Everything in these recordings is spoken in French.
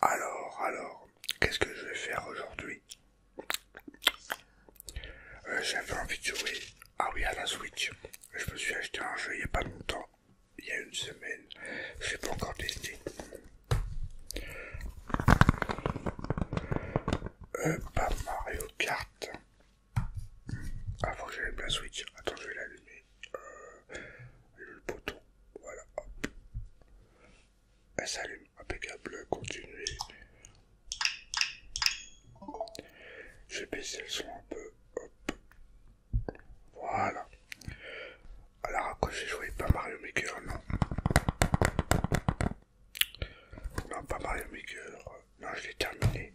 Alors, alors, qu'est-ce que je vais faire aujourd'hui euh, J'avais envie de jouer. Ah oui, à la Switch. Je me suis acheté un jeu il n'y a pas longtemps, il y a une semaine. Je n'ai pas encore testé. Euh, pas Mario Kart. Ah, faut que j'allume la Switch. Attends, je vais l'allumer. Euh, le bouton. Voilà, hop. Elle eh, s'allume, impeccable, continuez. Je vais le son un peu, hop. Voilà. Alors à quoi j'ai joué Pas Mario Maker, non. Non, pas Mario Maker. Non, je l'ai terminé.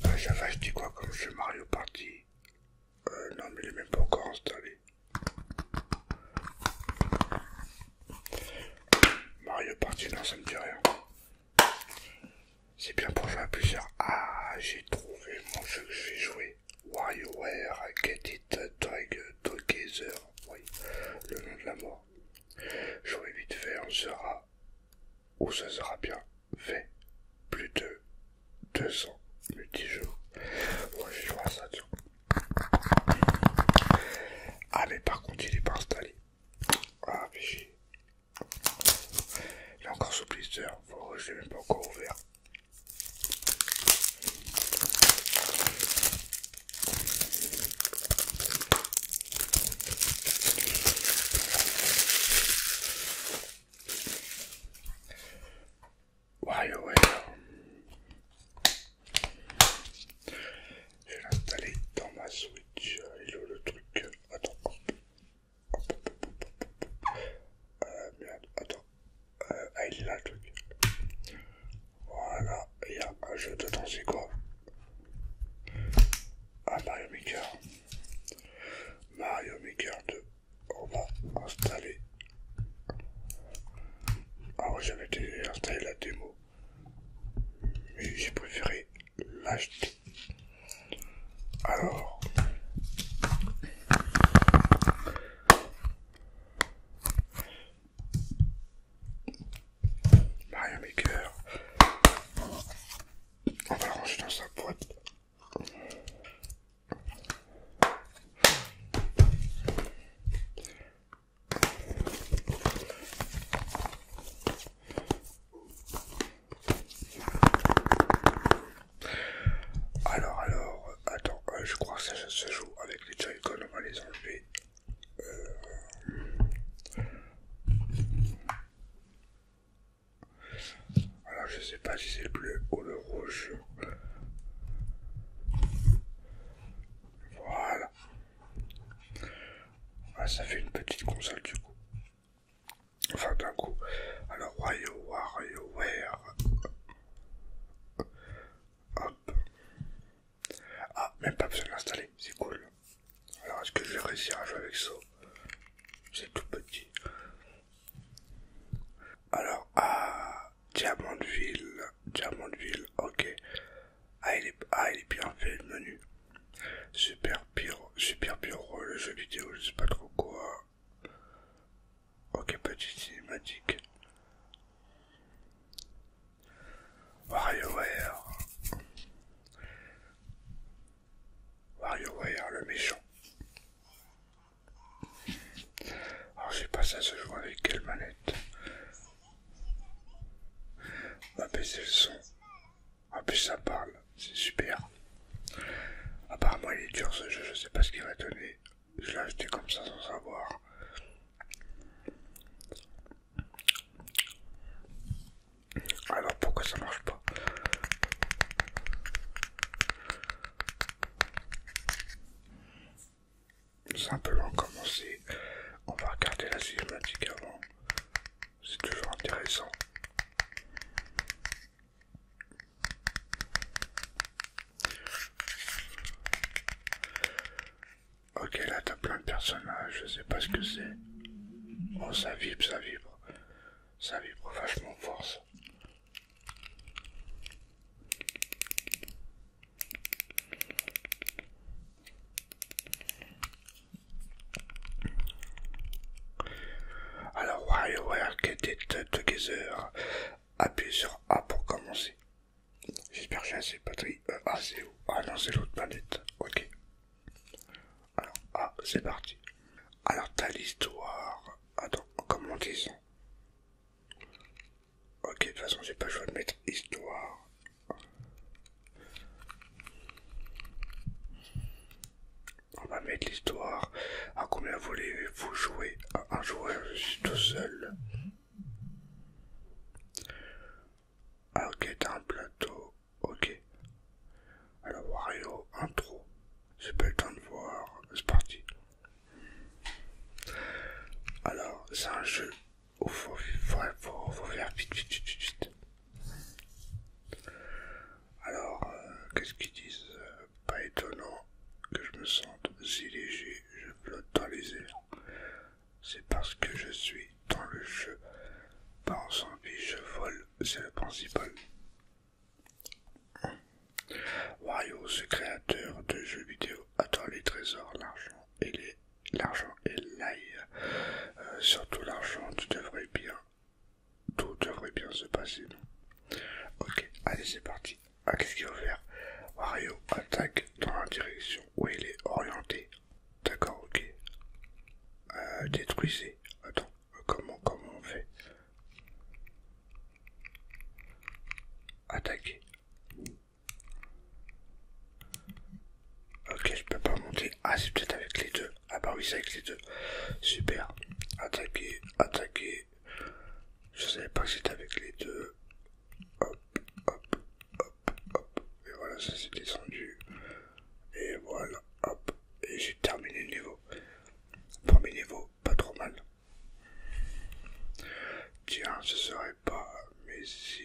va euh, J'avais acheté quoi comme jeu Mario Party euh, Non, mais il est même pas encore installé. Mario Party, non, ça me dit rien. C'est bien pour jouer à plusieurs. Ah, j'ai trouvé mon jeu que je vais jouer. WarioWare Get It Drag Together. Oui, le nom de la mort. Jouer vite fait, on sera, ou ça sera bien fait, plus de 200 jours Ouais, je vois ça, Ah, mais par contre, il est pas installé. Ah, mais Il est encore sous blister. Je l'ai même pas encore ouvert. WarioWare. Je dans ma Switch. Euh, il est où le truc Attends. Euh, merde, attends. Euh, ah, il est là le truc. Voilà, il y a un jeu dedans, c'est quoi Ah, Mario Maker. Mario Maker 2 on va installer. Alors ah j'avais déjà installé la démo, mais j'ai préféré l'acheter. Alors, Mario Maker, on va le ranger dans sa boîte. Alors, alors, attends, euh, je crois que ça, se joue avec les joy on va les enlever. Euh, alors je sais pas si c'est le bleu ou le rouge. Voilà. Ah, ça fait une petite console du coup. Enfin d'un coup. Alors where, Hop. Ah, même pas besoin de l'installer, c'est cool. Alors est-ce que je vais réussir à jouer avec ça C'est tout petit. Alors, ah, Diamondville, Diamondville, ok. Ah il, est, ah, il est bien fait le menu. Super bureau, super bureau, le jeu vidéo, je sais pas trop quoi. Ok, petite cinématique. WarioWare, le méchant. Alors, je sais pas, ça se joue avec quelle manette Ah va baisser le son. En plus, ça parle, c'est super. Apparemment, il est dur ce jeu, je sais pas ce qu'il va donner. Je l'ai acheté comme ça sans savoir. Alors pourquoi ça marche pas? Simplement commencer. On va regarder la cinématique avant. C'est toujours intéressant. Ok, là t'as plein de personnages, je sais pas ce que c'est. Oh, ça vibre, ça vibre ça vibre vachement vachement force. Alors, why Get It Together, appuyez sur A pour commencer. J'espère que j'ai assez de batterie. Euh, ah, c'est où Ah non, c'est l'autre planète. Ok. Alors, ah, c'est parti. Alors, t'as l'histoire. Attends, comment disons Ok, de toute façon, j'ai pas le choix de mettre histoire. On va mettre l'histoire. À combien voulez-vous jouer à Un joueur, je suis tout seul. Ah, ok, t'as un plateau. Ok. Alors Wario, intro. C'est pas le temps de voir. C'est parti. Alors, c'est un jeu où faut, faut, faire vite, vite, vite, vite. Alors, euh, qu'est-ce qu'ils disent euh, Pas étonnant que je me sente si léger, je flotte dans les airs. C'est parce que je suis dans le jeu. Pas en zombie, je vole, c'est le principal. Wario, ce créateur de jeux vidéo, attend les trésors, l'argent et les l'argent et l'ail. Euh, surtout l'argent, tu devrais bien. Tout devrait bien se passer, non Ok, allez c'est parti. Ah, qu'est-ce qu'il va faire Wario attaque dans la direction où il est orienté. D'accord, ok. Euh, détruisez. Attends comment, comment on fait Attaquer. Ok, je peux pas monter. Ah, c'est peut-être avec les deux. Ah bah oui, c'est avec les deux. Super. Attaquer, attaquer. Je savais pas que c'était avec les deux. Hop, hop, hop, hop. Et voilà, ça s'est descendu. Et voilà, hop et j'ai terminé le niveau. Premier niveau, pas trop mal. Tiens, ce serait pas, mais si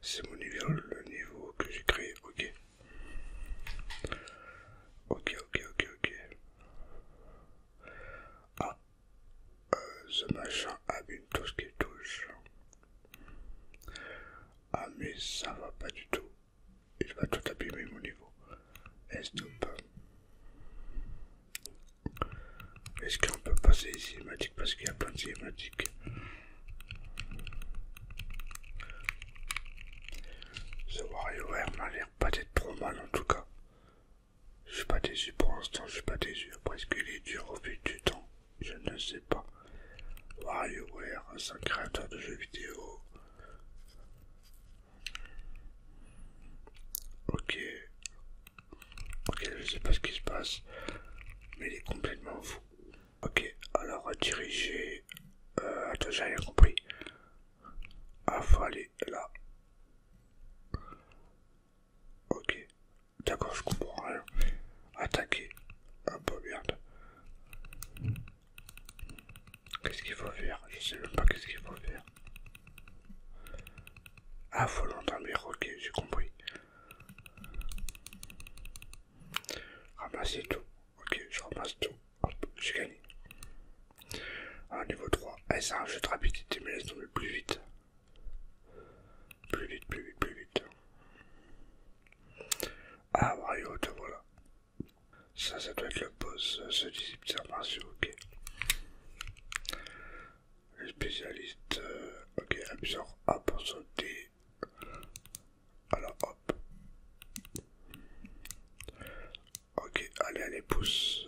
c'est mon niveau, le niveau que j'ai créé, ok. Ok, ok, ok, ok. Ah, euh, ce machin abîme tout ce qu'il touche. Ah, mais ça va pas du tout. Il va tout abîmer mon niveau. Est-ce qu'on peut passer les cinématiques parce qu'il y a plein de cinématiques Ce WarioWare m'a l'air pas d'être trop mal en tout cas. Je suis pas déçu pour l'instant, je suis pas déçu. Après, est-ce qu'il est dur au fil du temps Je ne sais pas. WarioWare, c'est un créateur de jeux vidéo. Ok. Ok, je sais pas ce qui se passe, mais il est complètement fou. Ok, alors diriger. Euh, attends, j'ai rien compris. Ah, faut aller là. Ok, d'accord, je comprends rien. Attaquer. Ah, bah merde. Qu'est-ce qu'il faut faire Je sais même pas qu'est-ce qu'il faut faire. Ah, faut l'endormir, ok, j'ai compris. Ramasser tout. Ok, je ramasse tout. Hop, j'ai gagné. à ah, niveau 3. s eh, c'est un jeu de rapidité, mais laisse tomber plus vite. Plus vite, plus vite, plus vite. Ah, Mario, voilà. Ça, ça doit être le boss, ce disent martiaux, ok. Le spécialiste, euh, ok, absorbe A pour sauter. Alors, hop. Ok, allez, allez, pousse.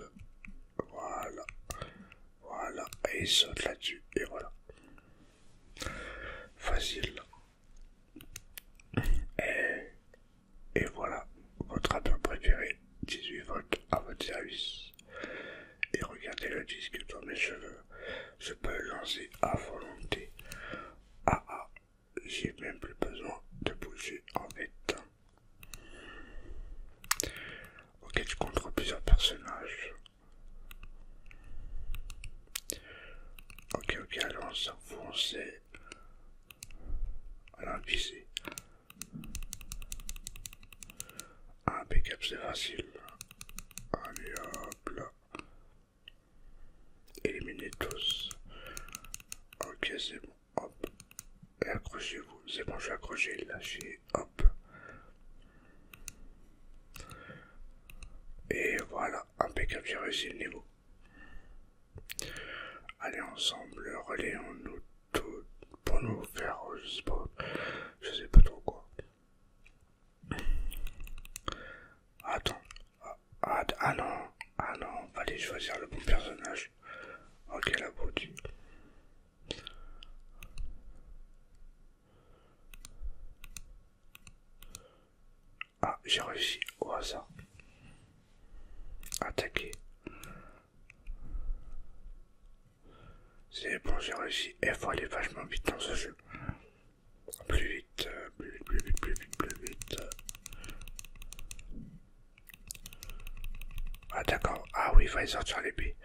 Voilà. Voilà, et il saute là-dessus, et voilà. Facile. Et, voilà, votre Apple préféré, 18 volts à votre service. Et regardez le disque dans mes cheveux, je peux le lancer à volonté. Ah ah, j'ai même plus besoin de bouger en fait. Ok, tu contrôles plusieurs personnages. Ok, ok, alors on foncez alors la Un pick-up c'est facile. Allez hop là. Éliminez tous. Ok, c'est bon. Hop. Et accrochez-vous. C'est bon, je vais accrocher, Lâchez. Hop. Et voilà, impeccable, j'ai réussi le niveau. Allez, ensemble, relayons-nous tout pour nous faire je sais pas, je sais pas trop quoi. Attends, ah, ah, ah non, ah non, allez choisir le bon personnage. Ok, la beauté. Ah, j'ai réussi au hasard. Attaquer. C'est bon, j'ai réussi. Il faut aller vachement vite dans ce jeu. Plus vite, euh, plus vite, plus vite, plus vite, plus vite. Ah d'accord, ah oui, il va sortir l'épée.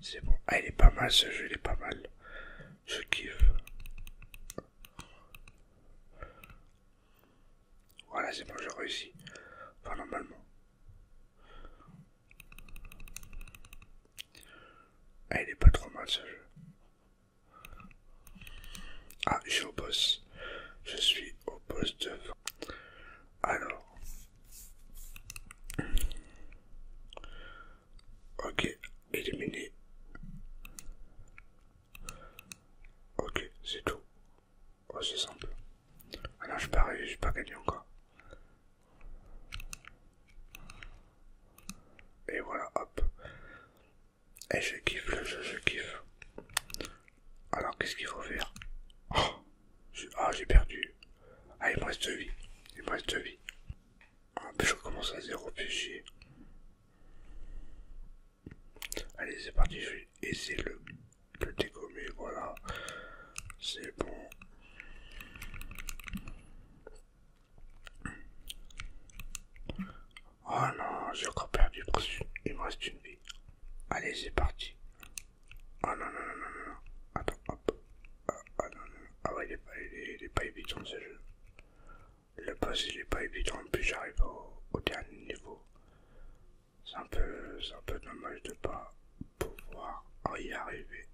C'est bon, ah il est pas mal ce jeu, il est pas mal. Je kiffe. Euh, voilà, c'est bon, j'ai réussi. Enfin, normalement. Elle ah, il est pas trop mal ce jeu. Ah, je suis au boss. Je suis au boss de... Alors... Ok, éliminé. Ok, c'est tout. Oh, c'est simple. Ah non, je pas j'ai pas gagné encore. Et voilà, hop. Et je kiffe le jeu, je kiffe. Alors, qu'est-ce qu'il faut faire oh, Ah, j'ai perdu. Ah, il me reste deux vies. Il me reste de vies. Ah, puis je commence à zéro, fichier. Allez, c'est parti, je vais essayer le, le dégommer, voilà. C'est bon. Oh non, j'ai encore perdu, il me reste une vie. Allez, c'est parti. Oh non, non, non, non, non, attends, hop. Ah, ah non, non, ah ouais, il est pas, évident ce jeu. Le boss il est pas évident, puis j'arrive au, dernier niveau. C'est un, peu, un peu dommage de pas pouvoir y arriver.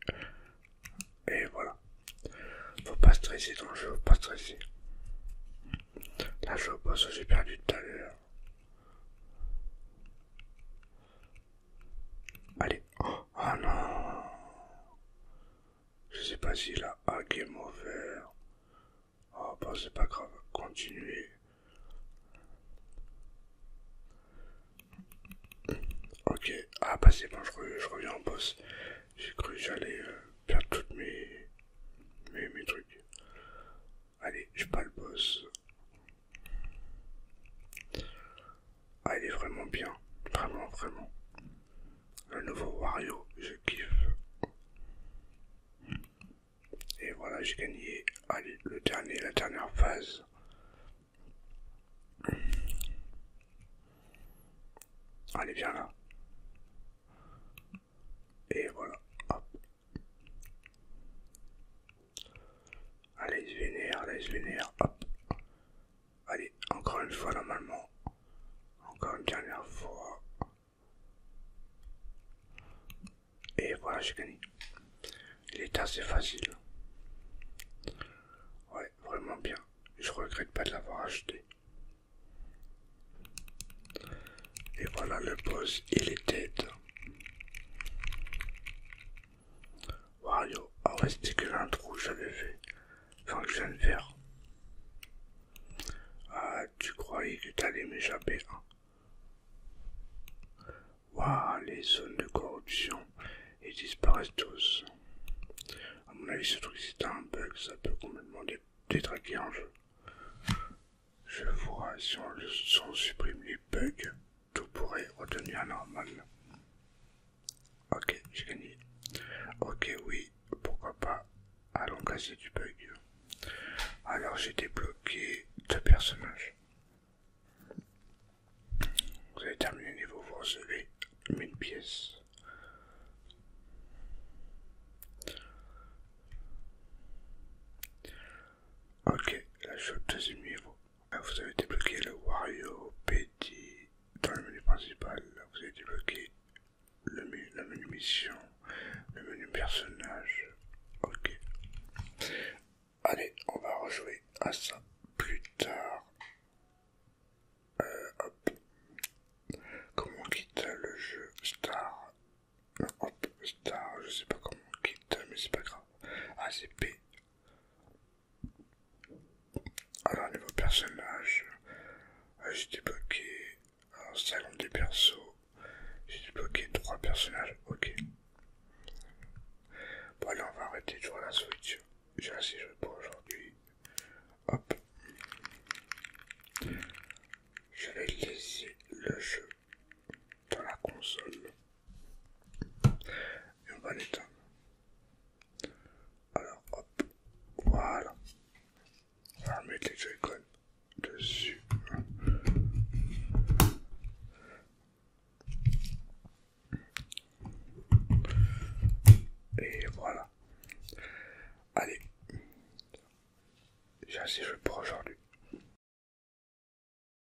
Et voilà. Faut pas stresser dans le jeu, faut pas stresser. Là je boss j'ai perdu tout à l'heure. Allez, oh. Ah non. Je sais pas si il a est mauvais. Oh ah, bah c'est pas grave, continuez. Ok, ah bah c'est bon, je, reviens au boss. J'ai cru que j'allais euh, perdre toutes mes, mes, mes trucs. Allez, je pas le boss. Ah, est vraiment bien. Vraiment, vraiment. Le nouveau Wario, je kiffe. Et voilà, j'ai gagné allez, le dernier, la dernière phase. Allez, bien là. Et voilà. Allez, je allez, je hop. Allez, encore une fois normalement. Encore une dernière fois. Et voilà, j'ai gagné. Il est assez facile. Ouais, vraiment bien. Je regrette pas de l'avoir acheté. Et voilà, le boss, il est tête. Wario, ah c'était que l'intro que j'avais fait. Enfin, que je viens de faire. Ah, tu croyais que t'allais m'échapper, hein Waouh, les zones de corruption, ils disparaissent tous. A mon avis, ce truc, c'est un bug, ça peut complètement détraquer un jeu. Je vois, si on supprime les bugs, tout pourrait retenir normal. Ok, j'ai gagné. Ok, oui, pourquoi pas. Allons casser du bug. Alors j'ai débloqué deux personnages. Vous avez terminé le niveau, vous recevez une pièce. Ok, la je suis deuxième niveau. Ah, vous avez débloqué le Wario Petit dans le menu principal. Vous avez débloqué le menu, menu mission, le menu personnage. Ok. Allez, on va rejouer à ça plus tard. Euh, comment quitte le jeu Star Hop, Star, je sais pas comment quitte, mais c'est pas grave. ACP. Ah, alors, niveau personnage, euh, j'ai débloqué un salon des persos. J'ai débloqué trois personnages. Ok. Bon, allez, on va arrêter de à la Switch. J'ai assez joué pour aujourd'hui. Hop. Je vais laisser le jeu dans la console. Et on va l'éteindre. Alors hop, voilà. On va mettre les icônes dessus. Et voilà. Allez, j'ai assez joué pour aujourd'hui.